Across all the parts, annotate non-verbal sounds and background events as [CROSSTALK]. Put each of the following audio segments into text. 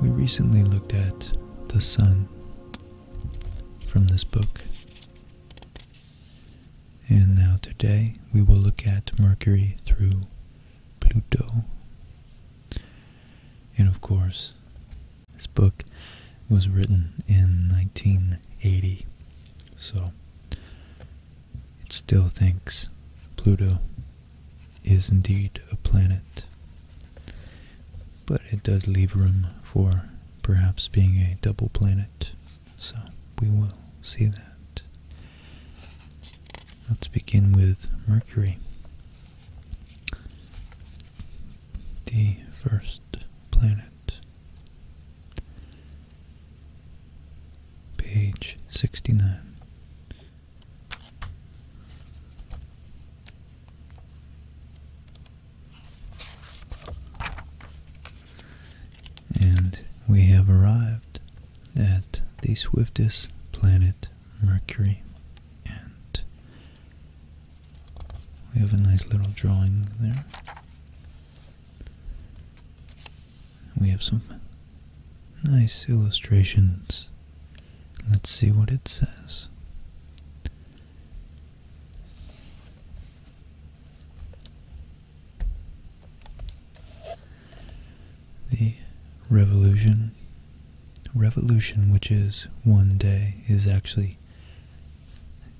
We recently looked at the sun from this book. And now today we will look at Mercury through Pluto. And of course, this book was written in 1980. So it still thinks Pluto is indeed a planet. But it does leave room for perhaps being a double planet, so we will see that. Let's begin with Mercury, the first planet Page 69. And we have arrived at the swiftest planet, Mercury. And we have a nice little drawing there. We have some nice illustrations. Let's see what it says. The revolution, revolution, which is one day, is actually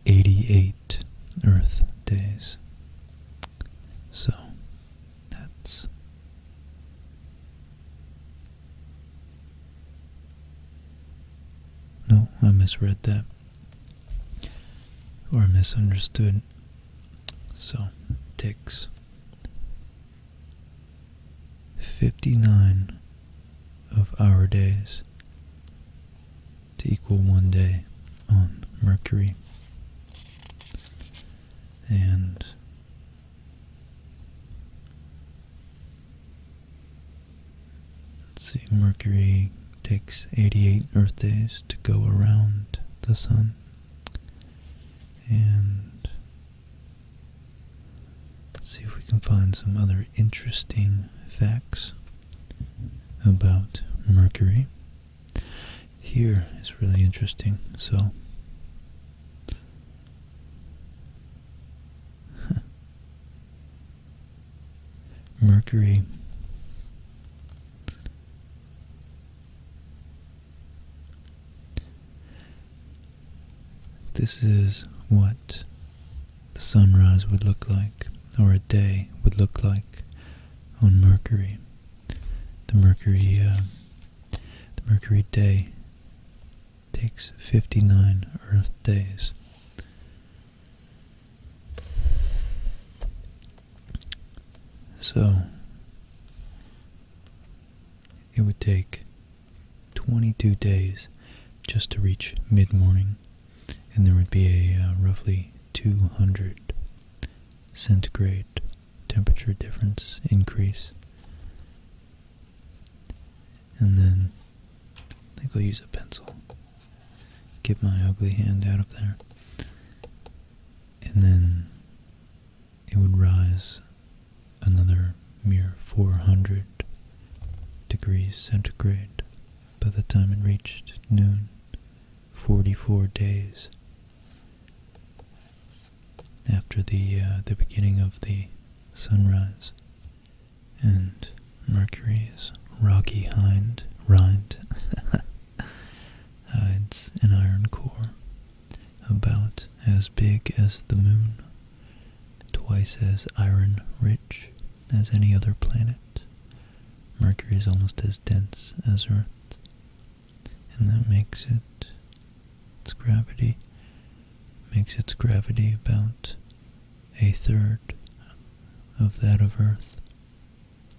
88 Earth days. So that's no, I misread that or misunderstood. So ticks 59 of our days to equal one day on Mercury. And see, Mercury takes 88 Earth days to go around the Sun. And see if we can find some other interesting facts about Mercury here is really interesting. So, [LAUGHS] Mercury this is what the sunrise would look like, or a day would look like on Mercury. The Mercury, uh, the Mercury day takes 59 Earth days. So, it would take 22 days just to reach mid-morning, and there would be a uh, roughly 200 centigrade temperature difference increase. And then I think I'll use a pencil. Get my ugly hand out of there. And then it would rise another mere 400 degrees centigrade by the time it reached noon. 44 days after the uh, the beginning of the sunrise and Mercury's rocky hind rind [LAUGHS] hides an iron core about as big as the moon, twice as iron rich as any other planet. Mercury is almost as dense as Earth. And that makes it, its gravity, makes its gravity about a third of that of Earth,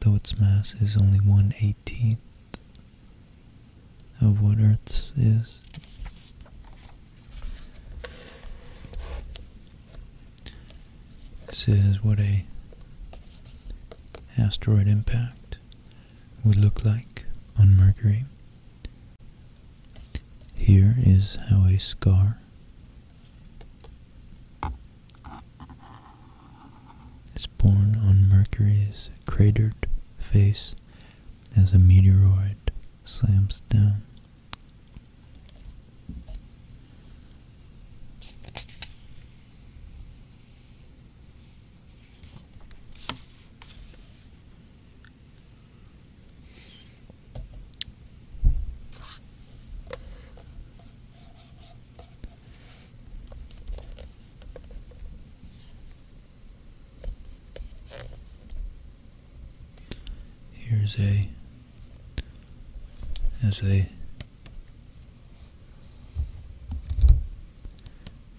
though its mass is only one eighteenth of what Earth's is. This is what a asteroid impact would look like on Mercury. Here is how a scar is born on Mercury's cratered face as a meteoroid slams down. Here's a, as they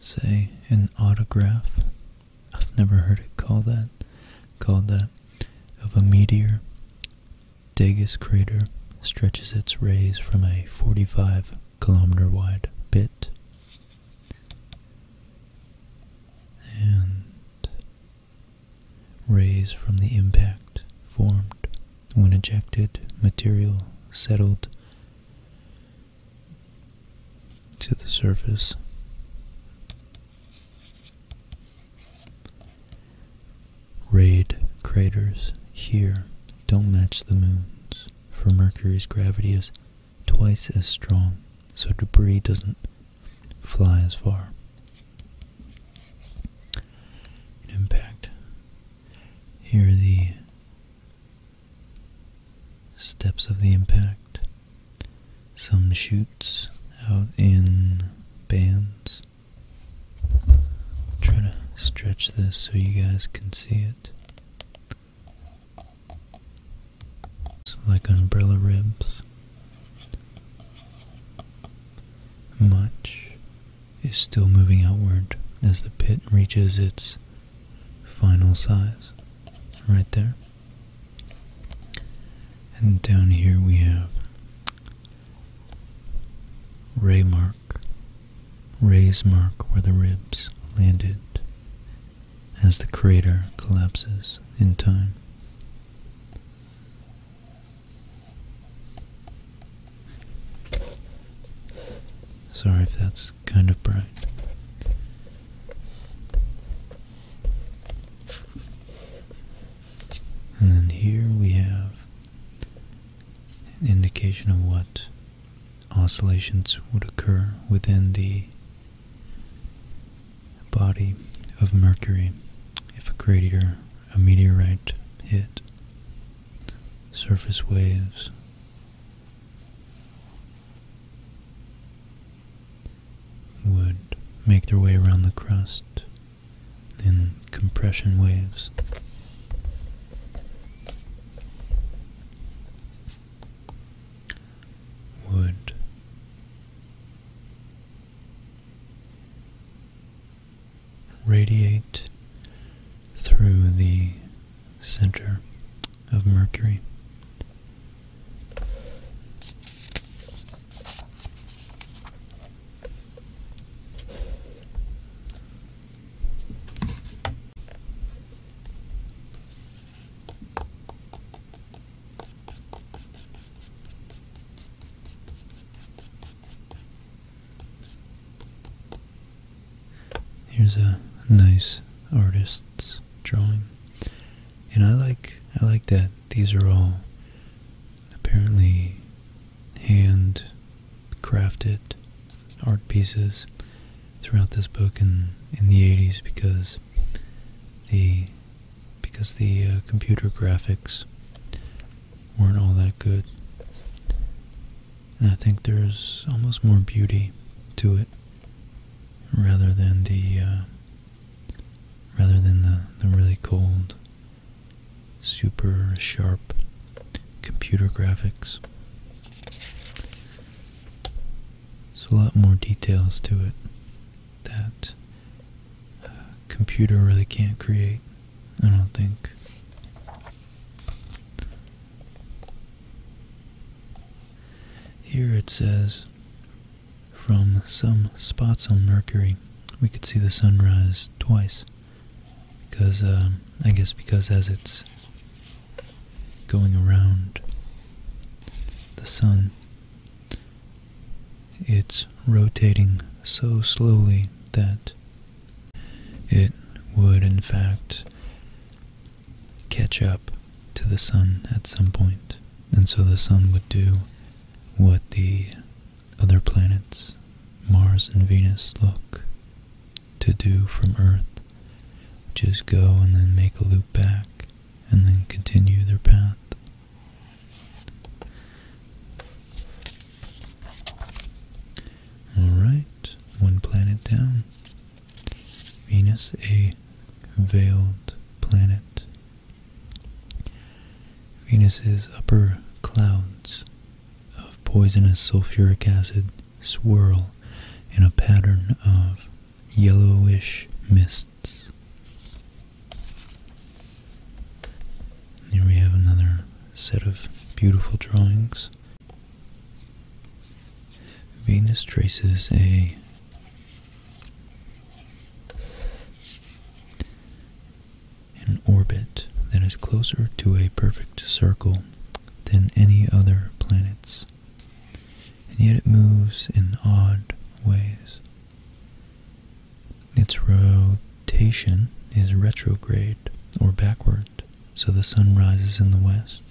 say an autograph I've never heard it called that called that of a meteor Degas crater stretches its rays from a 45 kilometer wide pit and rays from the impact formed when ejected, material settled to the surface. Raid craters here don't match the moon's, for Mercury's gravity is twice as strong, so debris doesn't fly as far. impact here are the steps of the impact. Some shoots out in bands. Try to stretch this so you guys can see it. like umbrella ribs. Much is still moving outward as the pit reaches its final size right there. And down here we have ray mark, ray's mark where the ribs landed as the crater collapses in time. Sorry if that's kind of bright. And then here we have an indication of what oscillations would occur within the body of Mercury if a crater, a meteorite hit surface waves. Would make their way around the crust in compression waves. Would radiate through the center of Mercury. Here's a nice artist's drawing. And I like I like that these are all apparently handcrafted art pieces throughout this book in in the 80s because the because the uh, computer graphics weren't all that good and I think there's almost more beauty to it rather than the uh, rather than the, the really cold, super sharp computer graphics. There's a lot more details to it that a uh, computer really can't create. I don't think. Here it says, from some spots on Mercury, we could see the sunrise twice. Because, uh, I guess because as it's going around the sun, it's rotating so slowly that it would, in fact, catch up to the sun at some point, and so the sun would do what the other planets, Mars and Venus, look to do from Earth, which is go and then make a loop back and then continue their path. Alright, one planet down. Venus, a veiled planet. Venus's upper clouds of poisonous sulfuric acid swirl in a pattern of yellowish mists. Here we have another set of beautiful drawings. Venus traces a an orbit that is closer to a perfect circle than any other planets, and yet it moves in odd ways. Its rotation is retrograde or backward, so the sun rises in the west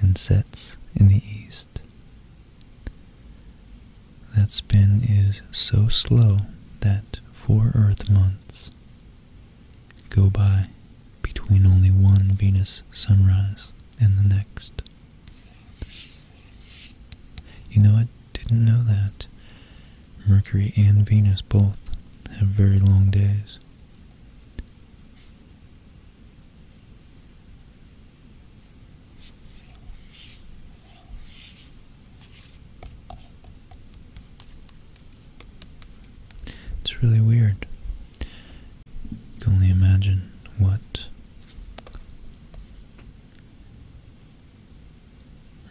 and sets in the east. That spin is so slow that four Earth months go by between only one Venus sunrise and the next. You know, I didn't know that. Mercury and Venus both have very long days. It's really weird. You can only imagine what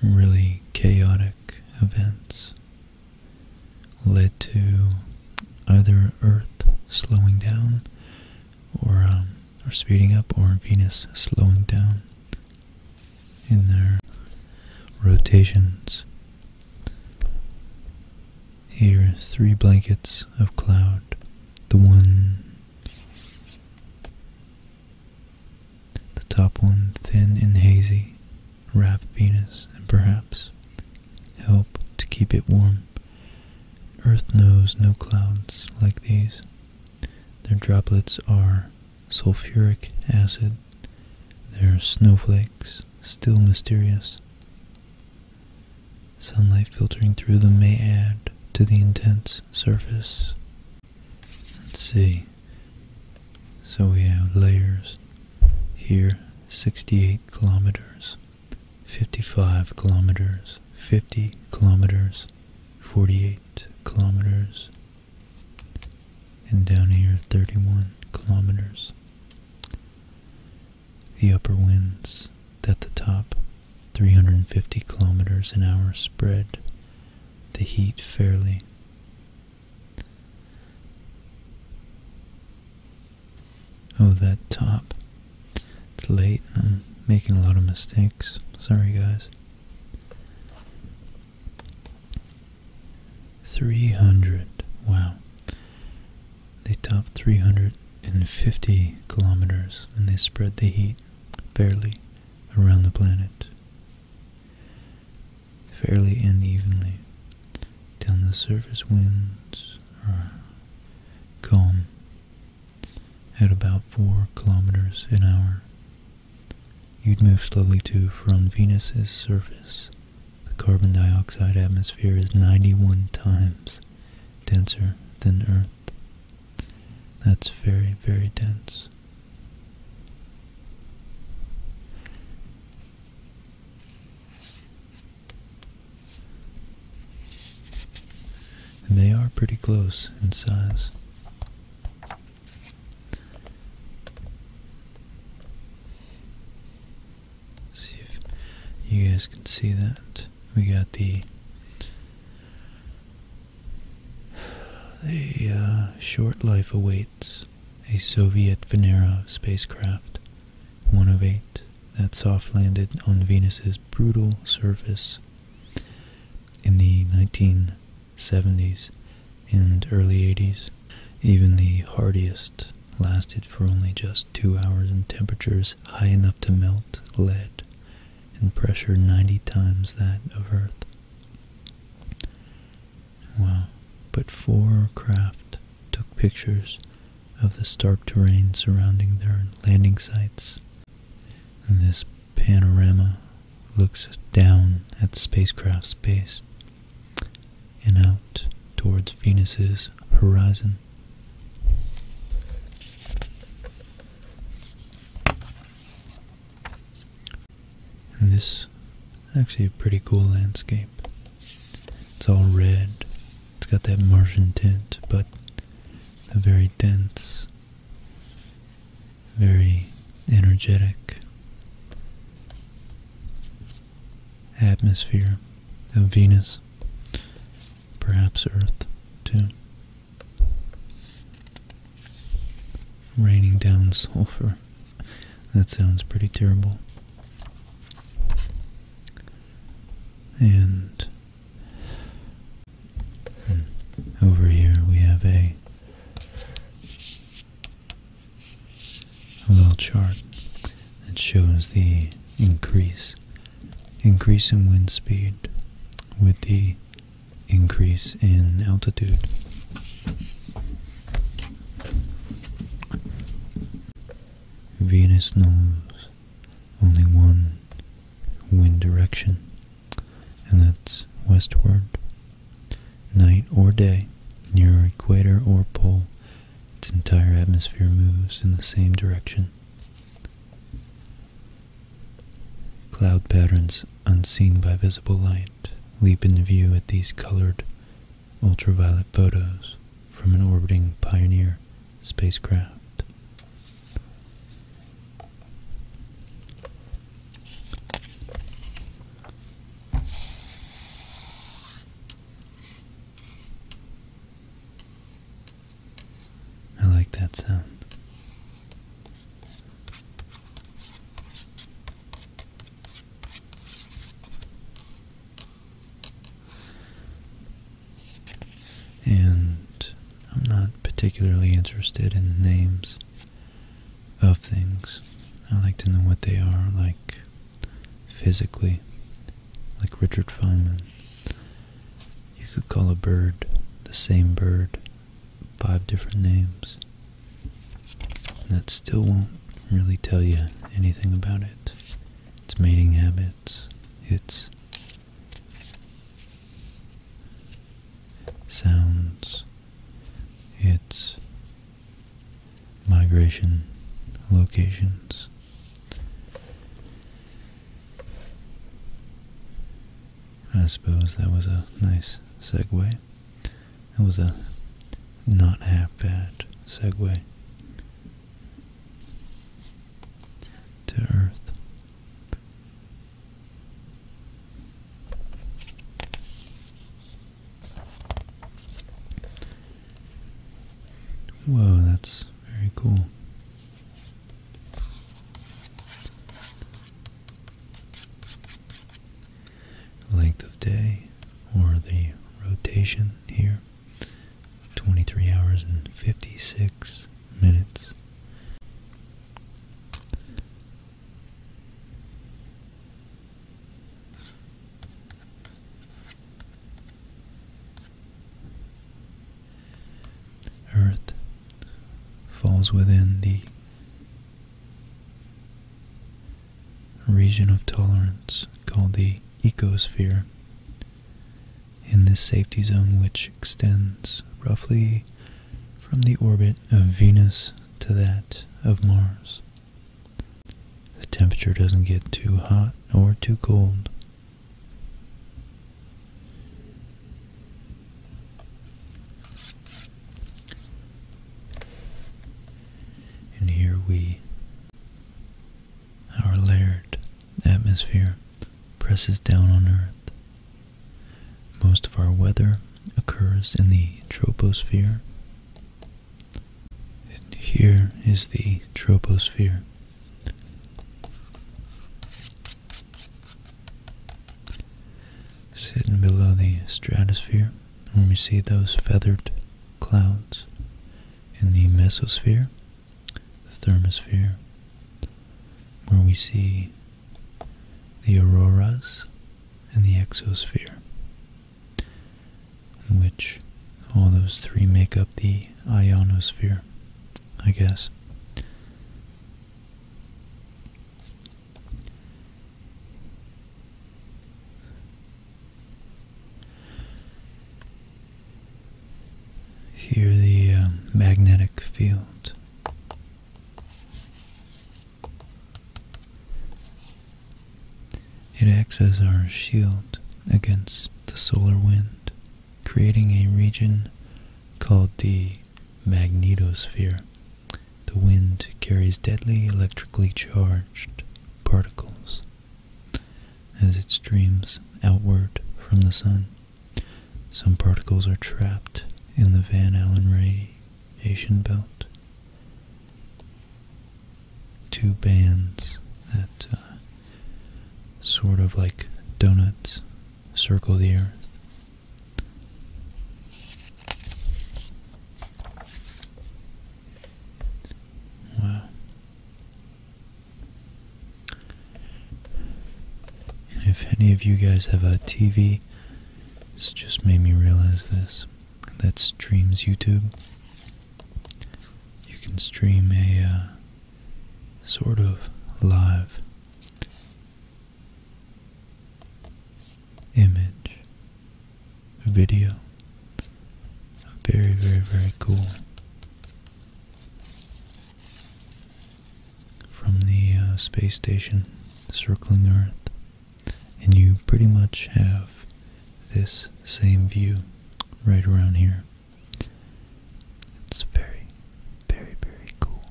really chaotic events led to either Earth slowing down or um, or speeding up, or Venus slowing down in their rotations. Here, three blankets of cloud. The one the top one, thin and hazy, wrap Venus and perhaps help to keep it warm. Earth knows no clouds like these. Their droplets are sulfuric acid, They're snowflakes still mysterious. Sunlight filtering through them may add to the intense surface. Let's see. So we have layers here 68 kilometers, 55 kilometers, 50 kilometers, 48 kilometers, and down here 31 kilometers. The upper winds at the top, 350 kilometers an hour spread, the heat fairly Oh, that top. It's late. I'm making a lot of mistakes. Sorry, guys. 300. Wow. They topped 350 kilometers and they spread the heat fairly around the planet fairly and evenly down the surface winds are calm at about 4 kilometers an hour. You'd move slowly to from Venus's surface. The carbon dioxide atmosphere is 91 times denser than Earth. That's very, very dense. And they are pretty close in size. See if you guys can see that. We got the the uh, short life awaits a Soviet Venera spacecraft, one of eight, that soft landed on Venus's brutal surface in the 1970s and early 80s. Even the hardiest lasted for only just two hours in temperatures high enough to melt lead and pressure 90 times that of Earth. Wow. But four craft took pictures of the stark terrain surrounding their landing sites. And this panorama looks down at the spacecraft's base and out towards Venus's horizon this is actually a pretty cool landscape. It's all red. It's got that Martian tint, but a very dense, very energetic atmosphere of Venus, perhaps Earth too. Raining down [LAUGHS] sulfur that sounds pretty terrible. And hmm, over here we have a, a little chart that shows the increase increase in wind speed with the increase in altitude. Venus knows only one wind direction, and that's westward. Night or day, near equator or pole, its entire atmosphere moves in the same direction. Cloud patterns unseen by visible light leap into view at these colored ultraviolet photos from an orbiting Pioneer spacecraft. I like that sound. And I'm not particularly interested in names of things. I like to know what they are, like physically, like Richard Feynman. You could call a bird the same bird, five different names. That still won't really tell you anything about it. Its mating habits, its sounds, its migration locations. I suppose that was a nice segue segue. That was a not half bad segue to Earth. Whoa, that's very cool length of day or the rotation here 23 hours and 56 minutes Earth falls within the region of tolerance called the ecosphere. In this safety zone, which extends roughly from the orbit of Venus to that of Mars, the temperature doesn't get too hot or too cold. And here we, our layered atmosphere presses down on Earth. Most of our weather occurs in the troposphere. here is the troposphere. Sitting below the stratosphere, when we see those feathered clouds in the mesosphere, the thermosphere, where we see the auroras in the exosphere, which all those three make up the ionosphere, I guess. Here, the uh, magnetic field. It acts as our shield against the solar wind, creating a region called the magnetosphere the wind carries deadly electrically charged particles as it streams outward from the sun. Some particles are trapped in the Van Allen radiation belt. Two bands that uh, sort of like donuts circle the earth. Wow. If any of you guys have a TV, it's just made me realize this. That streams YouTube. You can stream a uh, sort of live image, video. Very, very, very cool. From the uh, space station circling Earth, and you pretty much have this same view right around here. It's very, very, very cool.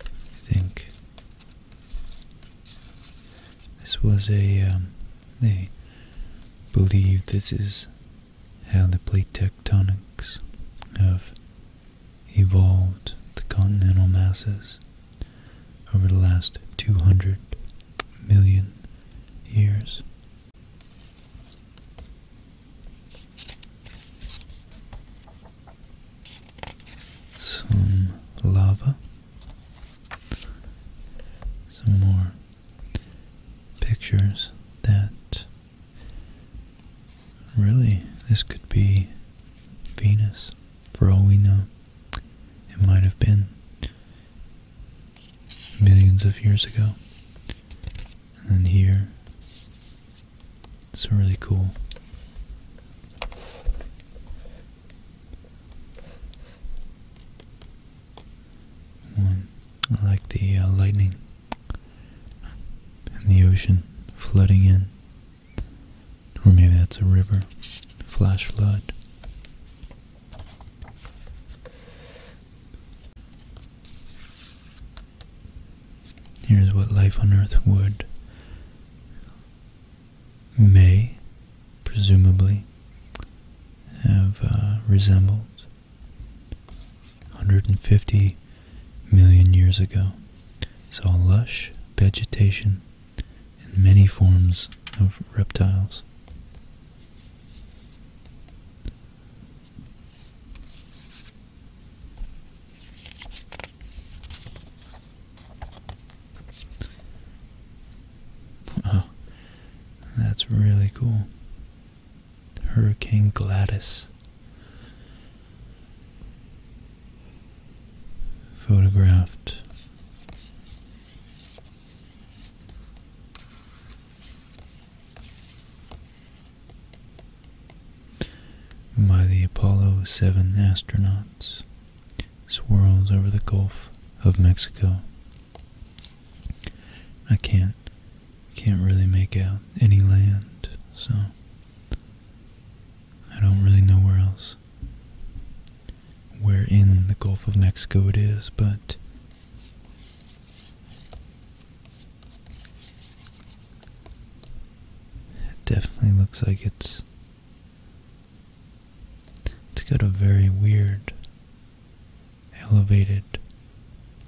I think this was a, um, they believe this is how the plate tectonics have evolved the continental masses over the last 200 million years. Some lava, some more pictures that really this could be Venus for all we know. It might have been millions of years ago. And then here, it's really cool. One, I like the uh, lightning and the ocean flooding in or maybe that's a river. Flash flood. Here's what life on Earth would may, presumably, have uh, resembled 150 million years ago. It's lush vegetation in many forms of reptiles. Wow, that's really cool. Hurricane Gladys photographed by the Apollo 7 astronauts swirls over the Gulf of Mexico. I can't can't really make out any land, so I don't really know where else where in the Gulf of Mexico it is, but it definitely looks like it's it's got a very weird elevated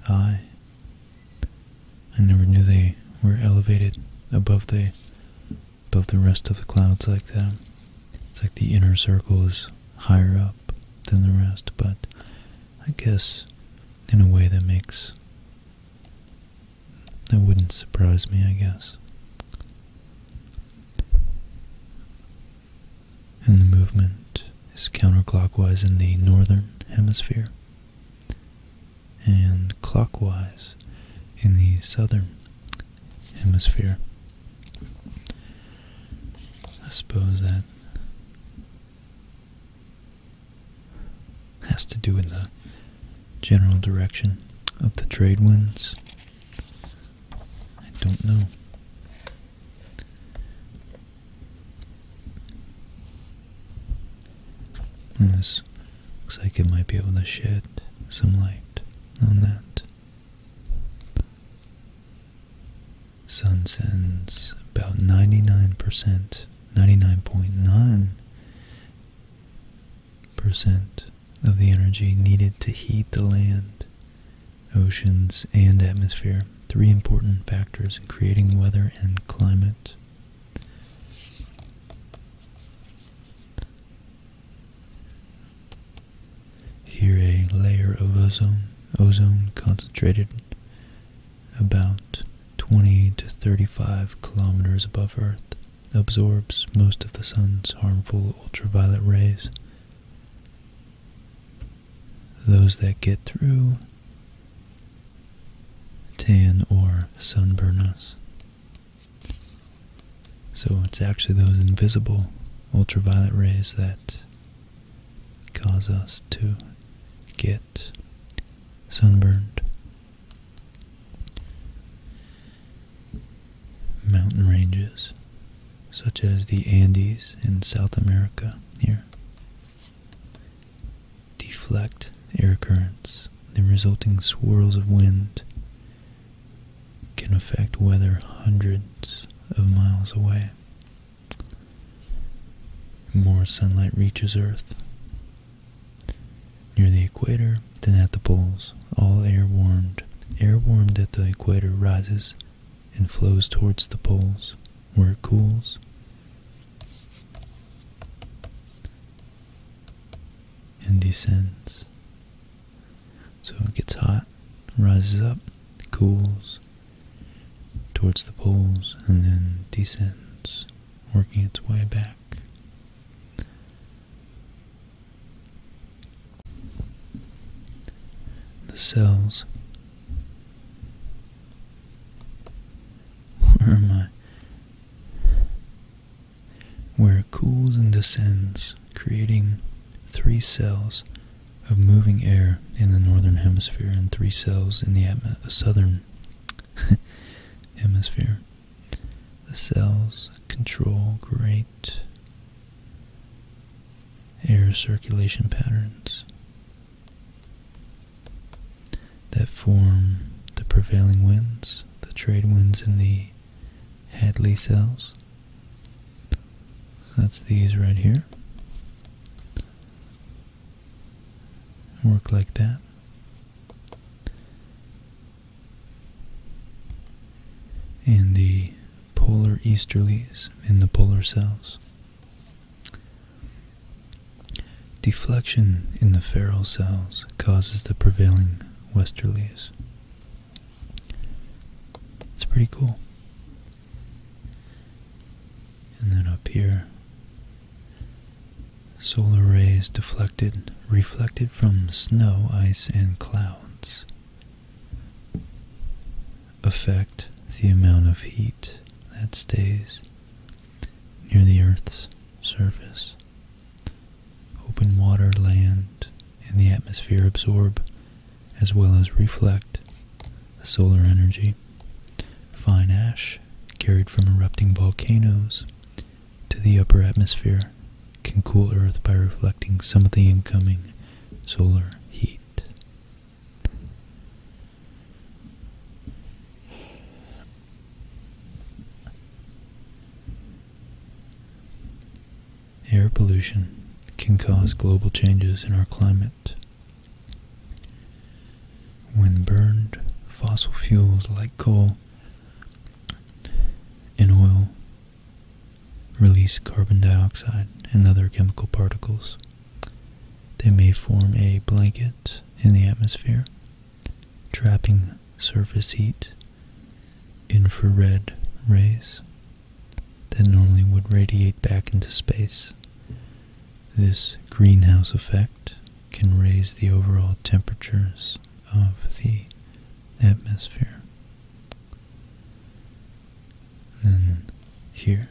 eye. I never knew they were elevated above the above the rest of the clouds like that. It's like the inner circle is higher up than the rest, but I guess in a way that makes that wouldn't surprise me, I guess. And the movement is counterclockwise in the northern hemisphere and clockwise in the southern hemisphere. I suppose that has to do with the general direction of the trade winds. I don't know. Hmm, this looks like it might be able to shed some light on that. Sun sends about 99%, 99.9% percent of the energy needed to heat the land, oceans, and atmosphere. Three important factors in creating weather and climate. Here a layer of ozone, ozone concentrated about 20 to 35 kilometers above Earth absorbs most of the sun's harmful ultraviolet rays. Those that get through tan or sunburn us. So it's actually those invisible ultraviolet rays that cause us to get sunburned. Mountain ranges such as the Andes in South America here deflect air currents, the resulting swirls of wind can affect weather hundreds of miles away. More sunlight reaches Earth near the equator than at the poles, all air warmed. Air warmed at the equator rises and flows towards the poles, where it cools. And descends so it gets hot, rises up, cools towards the poles, and then descends, working its way back. The cells. [LAUGHS] Where am I? where it cools and descends, creating three cells of moving air in the northern hemisphere and three cells in the southern [LAUGHS] hemisphere. The cells control great air circulation patterns that form the prevailing winds, the trade winds in the Hadley cells. That's these right here. Work like that. And the polar easterlies in the polar cells. Deflection in the feral cells causes the prevailing westerlies. It's pretty cool. And then up here, solar rays deflected, reflected from snow, ice, and clouds affect the amount of heat that stays near the Earth's surface Open water, land, and the atmosphere absorb as well as reflect solar energy. Fine ash carried from erupting volcanoes to the upper atmosphere can cool Earth by reflecting some of the incoming solar heat. Air pollution can cause global changes in our climate. When burned, fossil fuels like coal and oil release carbon dioxide and other chemical particles. They may form a blanket in the atmosphere, trapping surface heat infrared rays that normally would radiate back into space. This greenhouse effect can raise the overall temperatures of the atmosphere. And here,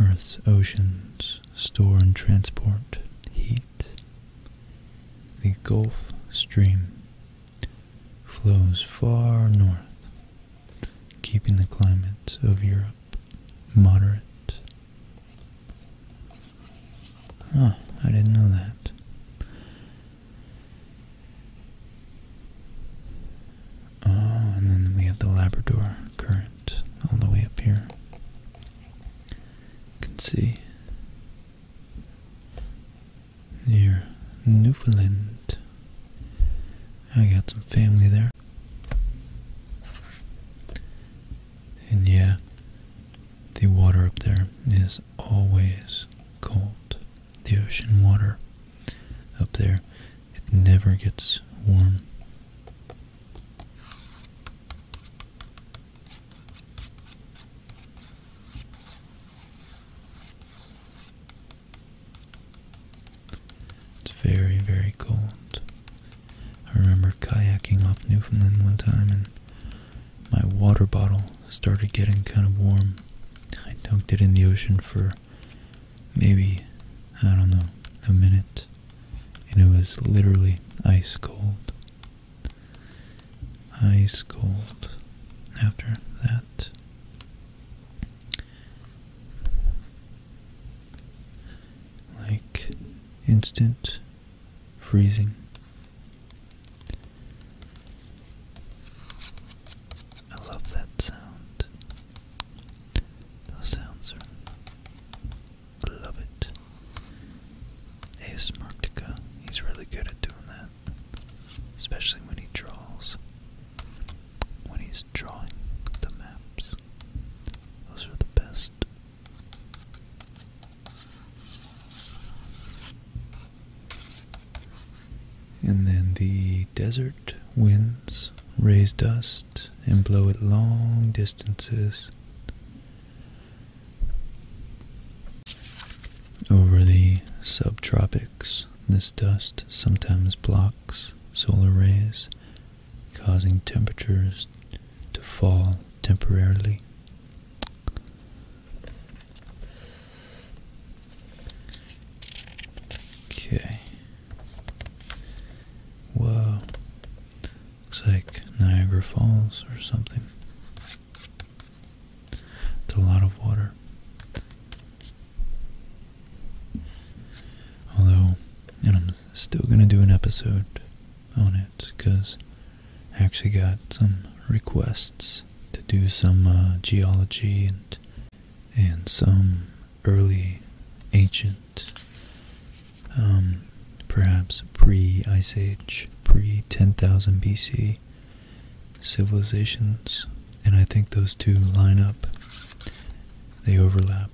Earth's oceans store and transport heat the Gulf Stream flows far north, keeping the climate of Europe moderate. Oh, I didn't know that. Oh, and then we have the Labrador Current all the way up here. You can see near Newfoundland. I got some family there. And yeah, the water up there is always cold. The ocean water up there, it never gets warm. It's very, very cold. I remember kayaking off Newfoundland one time and my water bottle started getting kind of warm. I dunked it in the ocean for maybe, I don't know, a minute. And it was literally ice cold ice cold after that. Like instant freezing. I love that sound. Those sounds are. I love it. A.S. Marktica, he's really good at doing that. Especially when he draws. When he's drawing the maps. Those are the best. And then the desert winds raise dust and blow it long distances. Over the subtropics, this dust sometimes blocks solar rays, causing temperatures to fall temporarily. Okay. Whoa. Looks like Niagara Falls or something. It's a lot of water. Although, and I'm still going to do an episode on it because I actually got some requests to do some uh, geology and and some early ancient um, perhaps pre-Ice Age, pre-10,000 BC civilizations. And I think those two line up. They overlap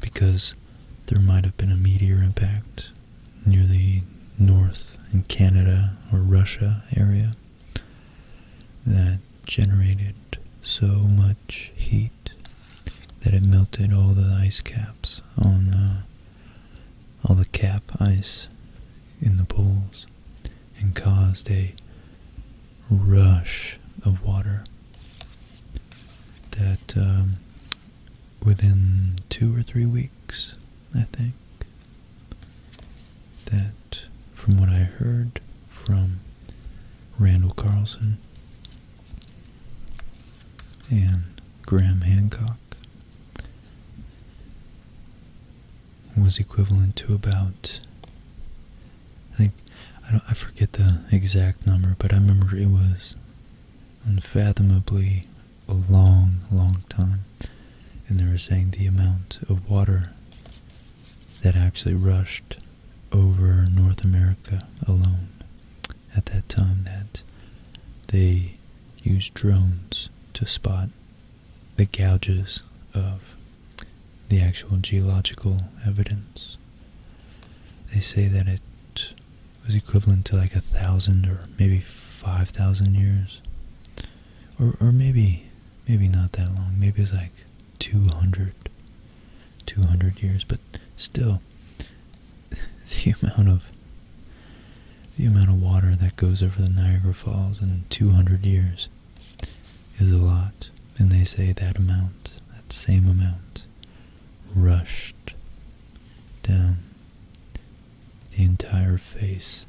because there might have been a meteor impact near the north in Canada or Russia area that generated so much heat that it melted all the ice caps on uh, all the cap ice in the poles, and caused a rush of water that um, within two or three weeks, I think, that from what I heard from Randall Carlson and Graham Hancock was equivalent to about I think I don't I forget the exact number, but I remember it was unfathomably a long, long time. And they were saying the amount of water that actually rushed over North America alone at that time that they use drones to spot the gouges of the actual geological evidence. They say that it was equivalent to like a thousand or maybe five thousand years. Or, or maybe, maybe not that long. Maybe it's like two hundred, two hundred years. But still, [LAUGHS] the amount of the amount of water that goes over the Niagara Falls in 200 years is a lot, and they say that amount, that same amount, rushed down the entire face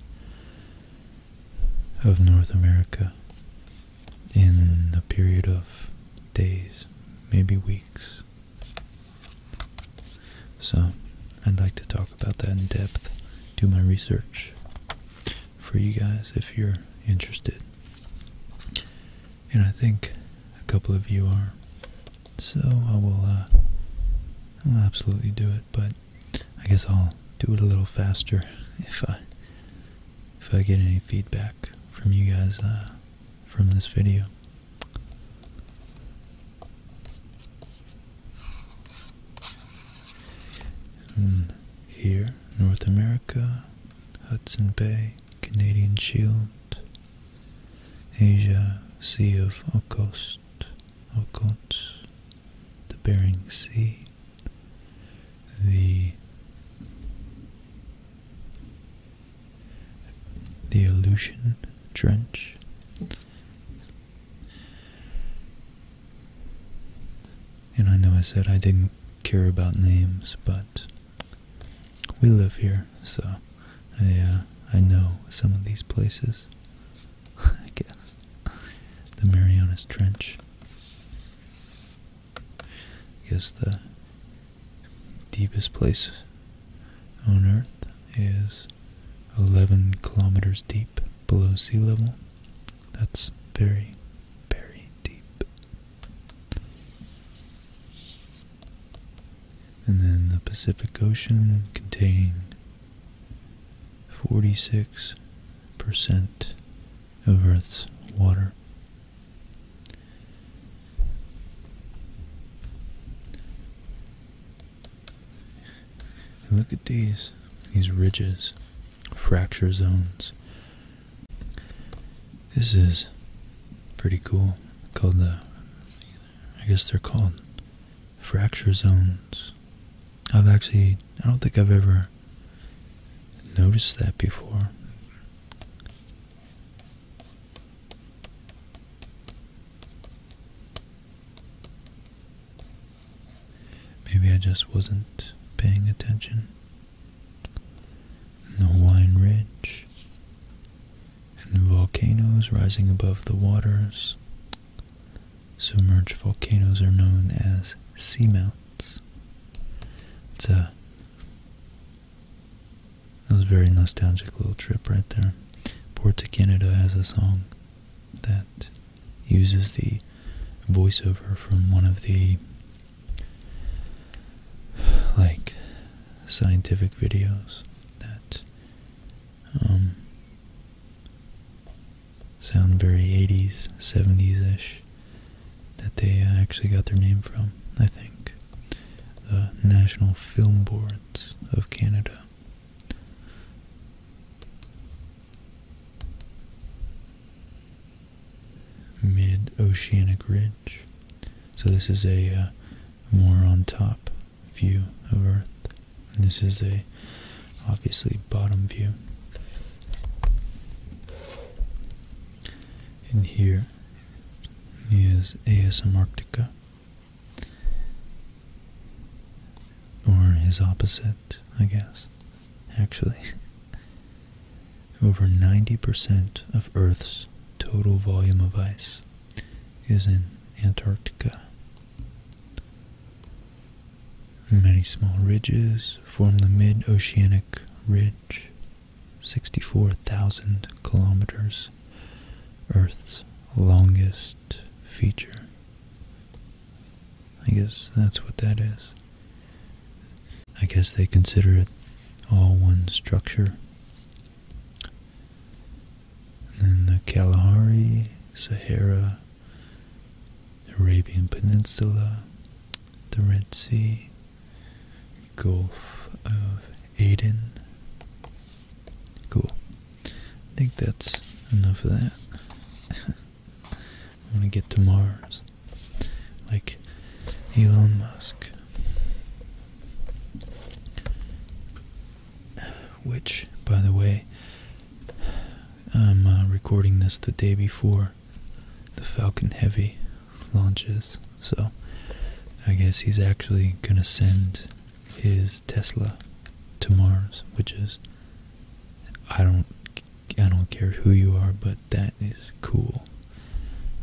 of North America in a period of days, maybe weeks, so, I'd like to talk about that in depth, do my research for you guys if you're interested. And I think a couple of you are. So, I will, uh, I'll absolutely do it, but I guess I'll do it a little faster if I if I get any feedback from you guys uh, from this video here, North America, Hudson Bay, Canadian Shield, Asia, Sea of Okhotsk, Okhotsk, the Bering Sea, the the Aleutian Trench, and I know I said I didn't care about names, but we live here, so I, uh, I know some of these places, [LAUGHS] I guess. The Marianas Trench. I guess the deepest place on Earth is 11 kilometers deep below sea level. That's very, very deep. And then the Pacific Ocean containing 46% of Earth's water look at these, these ridges, fracture zones. This is pretty cool. Called the, I guess they're called fracture zones. I've actually, I don't think I've ever noticed that before. Maybe I just wasn't paying attention. And the Hawaiian Ridge, and the volcanoes rising above the waters. Submerged volcanoes are known as seamounts. It's a that was a very nostalgic little trip right there. Port to Canada has a song that uses the voiceover from one of the like scientific videos that um, sound very 80s, 70s ish, that they actually got their name from, I think. The National Film Boards of Canada mid-oceanic ridge. So this is a uh, more on top view of Earth. And this is a obviously bottom view. And here is ASM Arctica. Or his opposite, I guess, actually. [LAUGHS] Over 90% of Earth's total volume of ice is in Antarctica. Many small ridges form the mid-oceanic ridge, 64,000 kilometers, Earth's longest feature. I guess that's what that is. I guess they consider it all one structure. And the Kalahari, Sahara, Arabian Peninsula, the Red Sea, Gulf of Aden. Cool. I think that's enough of that. I want to get to Mars. Like Elon Musk. Which, by the way, I'm uh, recording this the day before the Falcon Heavy launches. So I guess he's actually going to send is Tesla to Mars, which is I don't I don't care who you are, but that is cool.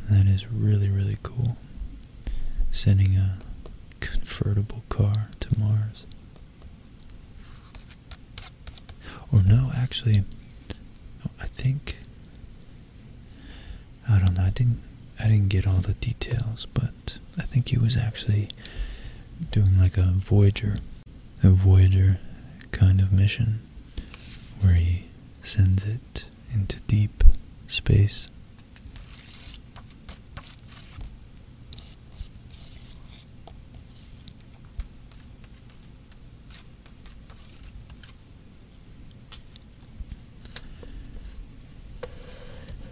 That is really really cool. Sending a convertible car to Mars. Or no, actually, I think I don't know. I didn't I didn't get all the details, but I think he was actually doing like a Voyager, a Voyager kind of mission where he sends it into deep space.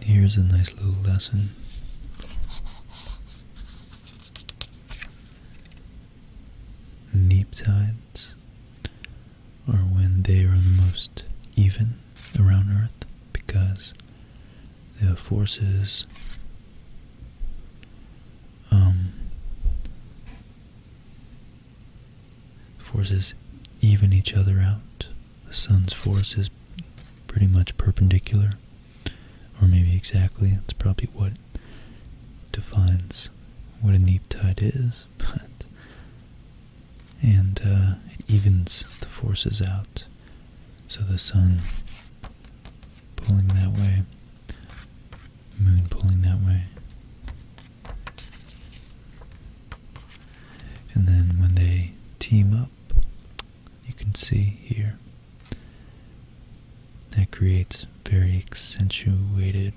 Here's a nice little lesson. Neap tides are when they are the most even around Earth because the forces um, forces even each other out. The sun's forces pretty much perpendicular, or maybe exactly. That's probably what defines what a neap tide is, [LAUGHS] but and uh, it evens the forces out. So the sun pulling that way, moon pulling that way. And then when they team up, you can see here that creates very accentuated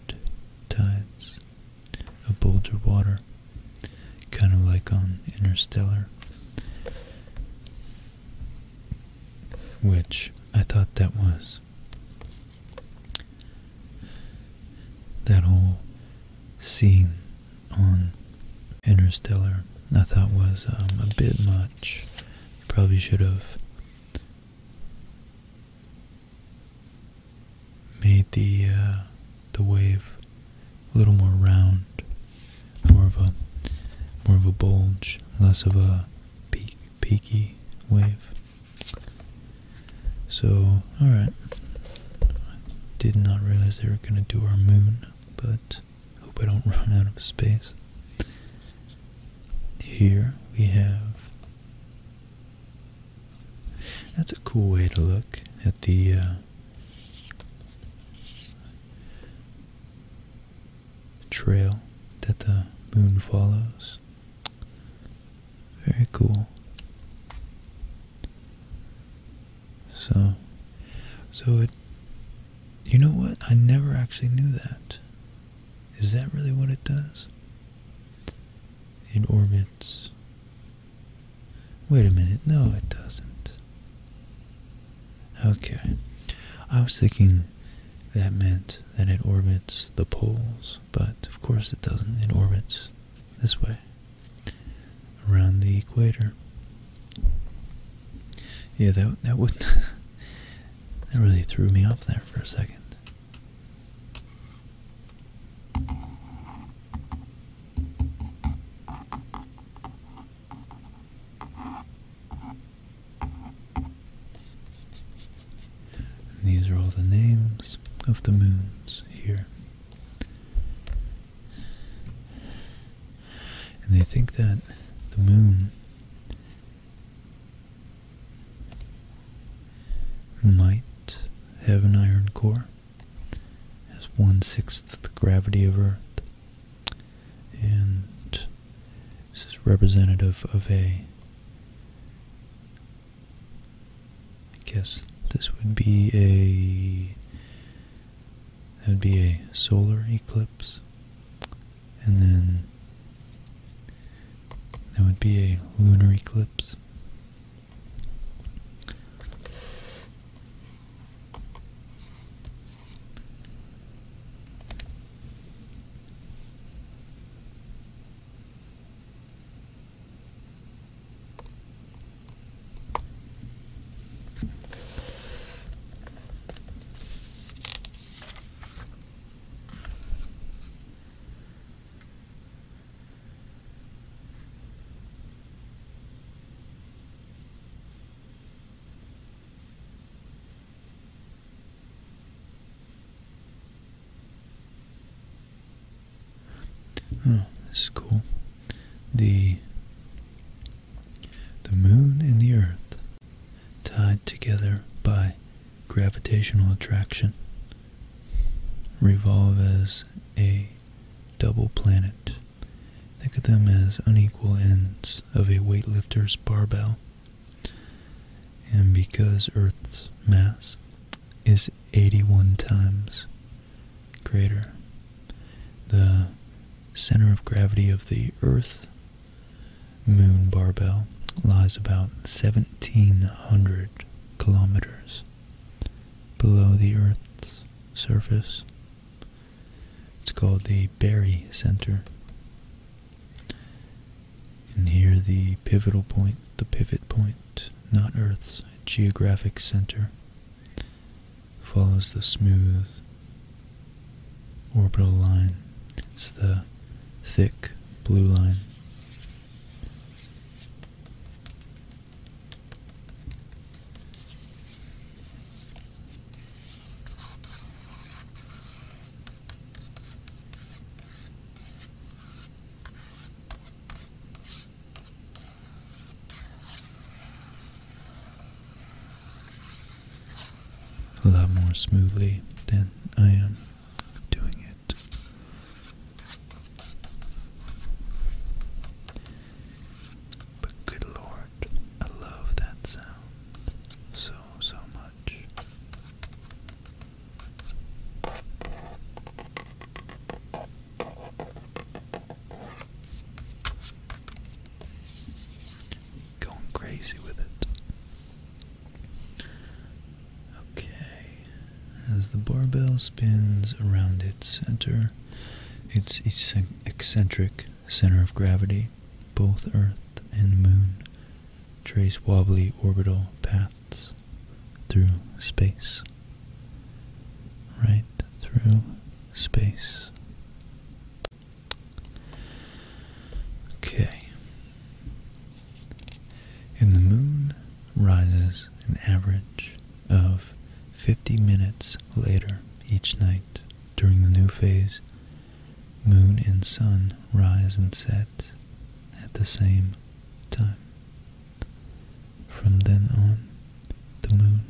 tides a bulge of water kind of like on interstellar which i thought that was that whole scene on Interstellar I thought was um, a bit much. Probably should have made the uh, the wave a little more round, more of a more of a bulge, less of a peak peaky wave. So all right, did not realize they were gonna do our moon, but Hope I don't run out of space. Here we have. That's a cool way to look at the. Uh, trail that the moon follows. Very cool. So, so it, you know what? I never actually knew that. Is that really what it does? It orbits. Wait a minute. No, it doesn't. Okay. I was thinking that meant that it orbits the poles, but of course it doesn't. It orbits this way around the equator. Yeah, that that would [LAUGHS] that really threw me off there for a second. these are all the names of the moons here. And they think that the moon might have an iron core, it has one sixth the gravity of Earth, and this is representative of a I guess this would be a that would be a solar eclipse. And then that would be a lunar eclipse. Oh, this is cool the the moon and the earth tied together by gravitational attraction revolve as a double planet. Think of them as unequal ends of a weightlifter's barbell. And because Earth's mass is 81 times greater, the center of gravity of the Earth moon barbell lies about 1700 kilometers below the Earth's surface. It's called the Berry Center. And here the pivotal point, the pivot point, not Earth's geographic center, follows the smooth orbital line. It's the thick blue line a lot more smoothly than I am doing it. But good lord, I love that sound so, so much. Going crazy with it. Okay, as the barbell spins around its center, its eccentric center of gravity, both Earth and Moon trace wobbly orbital paths through space. Right through space. Okay. In the moon rises an average of 50 minutes later each night during the new phase. Moon and sun rise and set at the same time. From then on, the moon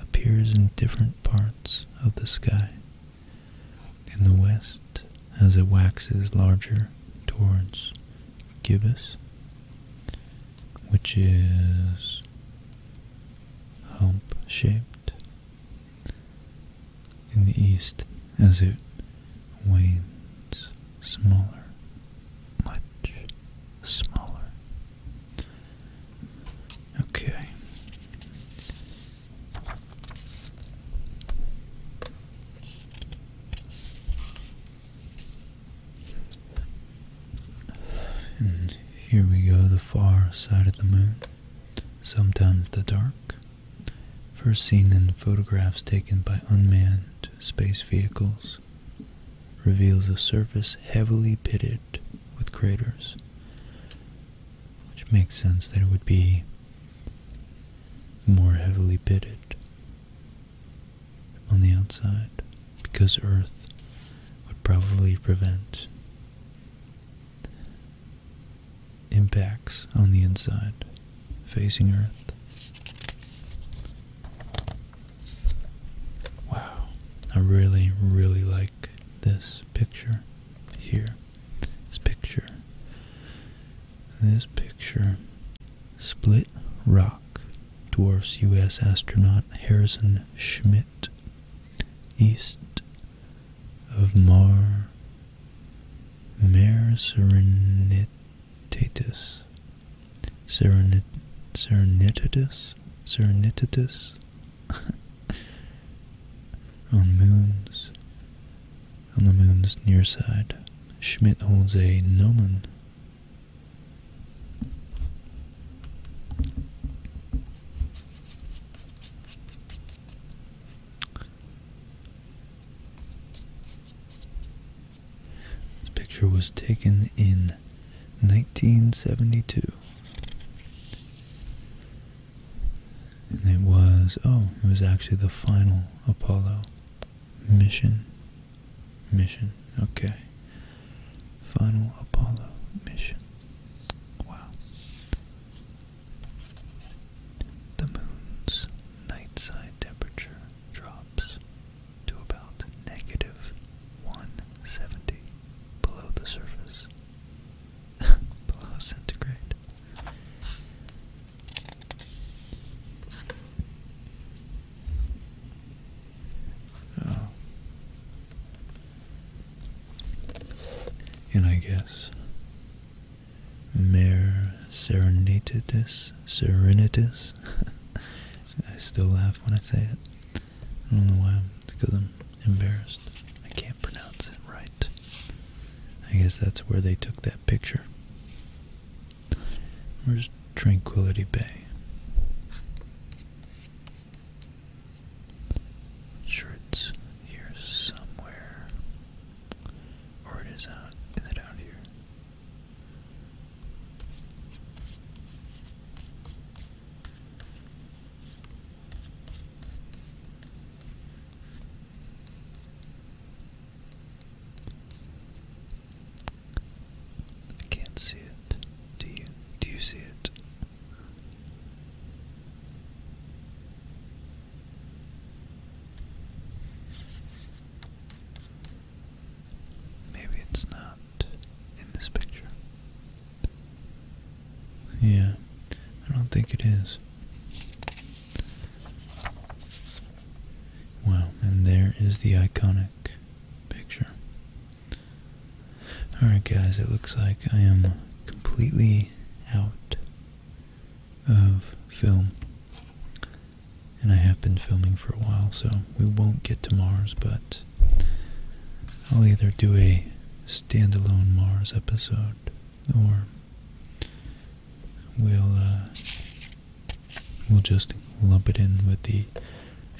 appears in different parts of the sky. In the west, as it waxes larger towards gibbous, which is hump shaped. In the east, as it wanes smaller, much smaller, Okay. here we go, the far side of the moon, sometimes the dark, first seen in photographs taken by unmanned space vehicles, reveals a surface heavily pitted with craters which makes sense that it would be more heavily pitted on the outside because Earth would probably prevent impacts on the inside facing Earth. Wow, I really, really like this picture here. This picture. This picture. Split Rock. Dwarfs U.S. astronaut Harrison Schmidt, East of Mar. Mare Serenitatis. Serenit Serenitatis? [LAUGHS] on moons, on the moon's near side, Schmidt holds a gnomon. This picture was taken in 1972. And it was, oh, it was actually the final Apollo mission. Mission, okay. Final Apollo mission. Wow. The moon's night side temperature drops to about negative 170 below the surface below [LAUGHS] centigrade. Oh. And I guess Mare Serenitatis Serenitas. [LAUGHS] I still laugh when I say it. I don't know why. It's because I'm embarrassed. I can't pronounce it right. I guess that's where they took that picture. Where's Tranquility Bay? sure it's here somewhere. Or it is out. Is it out here? I can't see it. Do you? Do you see it? Maybe it's not in this picture. Yeah, I don't think it is. Wow, and there is the iconic picture. Alright guys, it looks like I am completely out of film. And I have been filming for a while, so we won't get to Mars, but I'll either do a standalone Mars episode or we'll uh, we'll just lump it in with the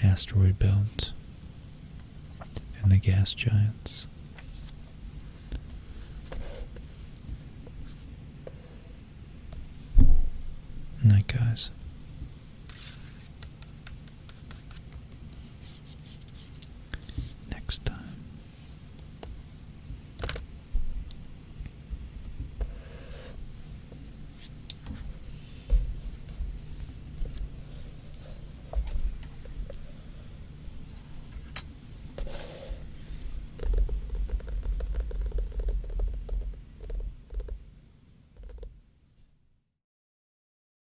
asteroid belt and the gas giants. Night guys next time.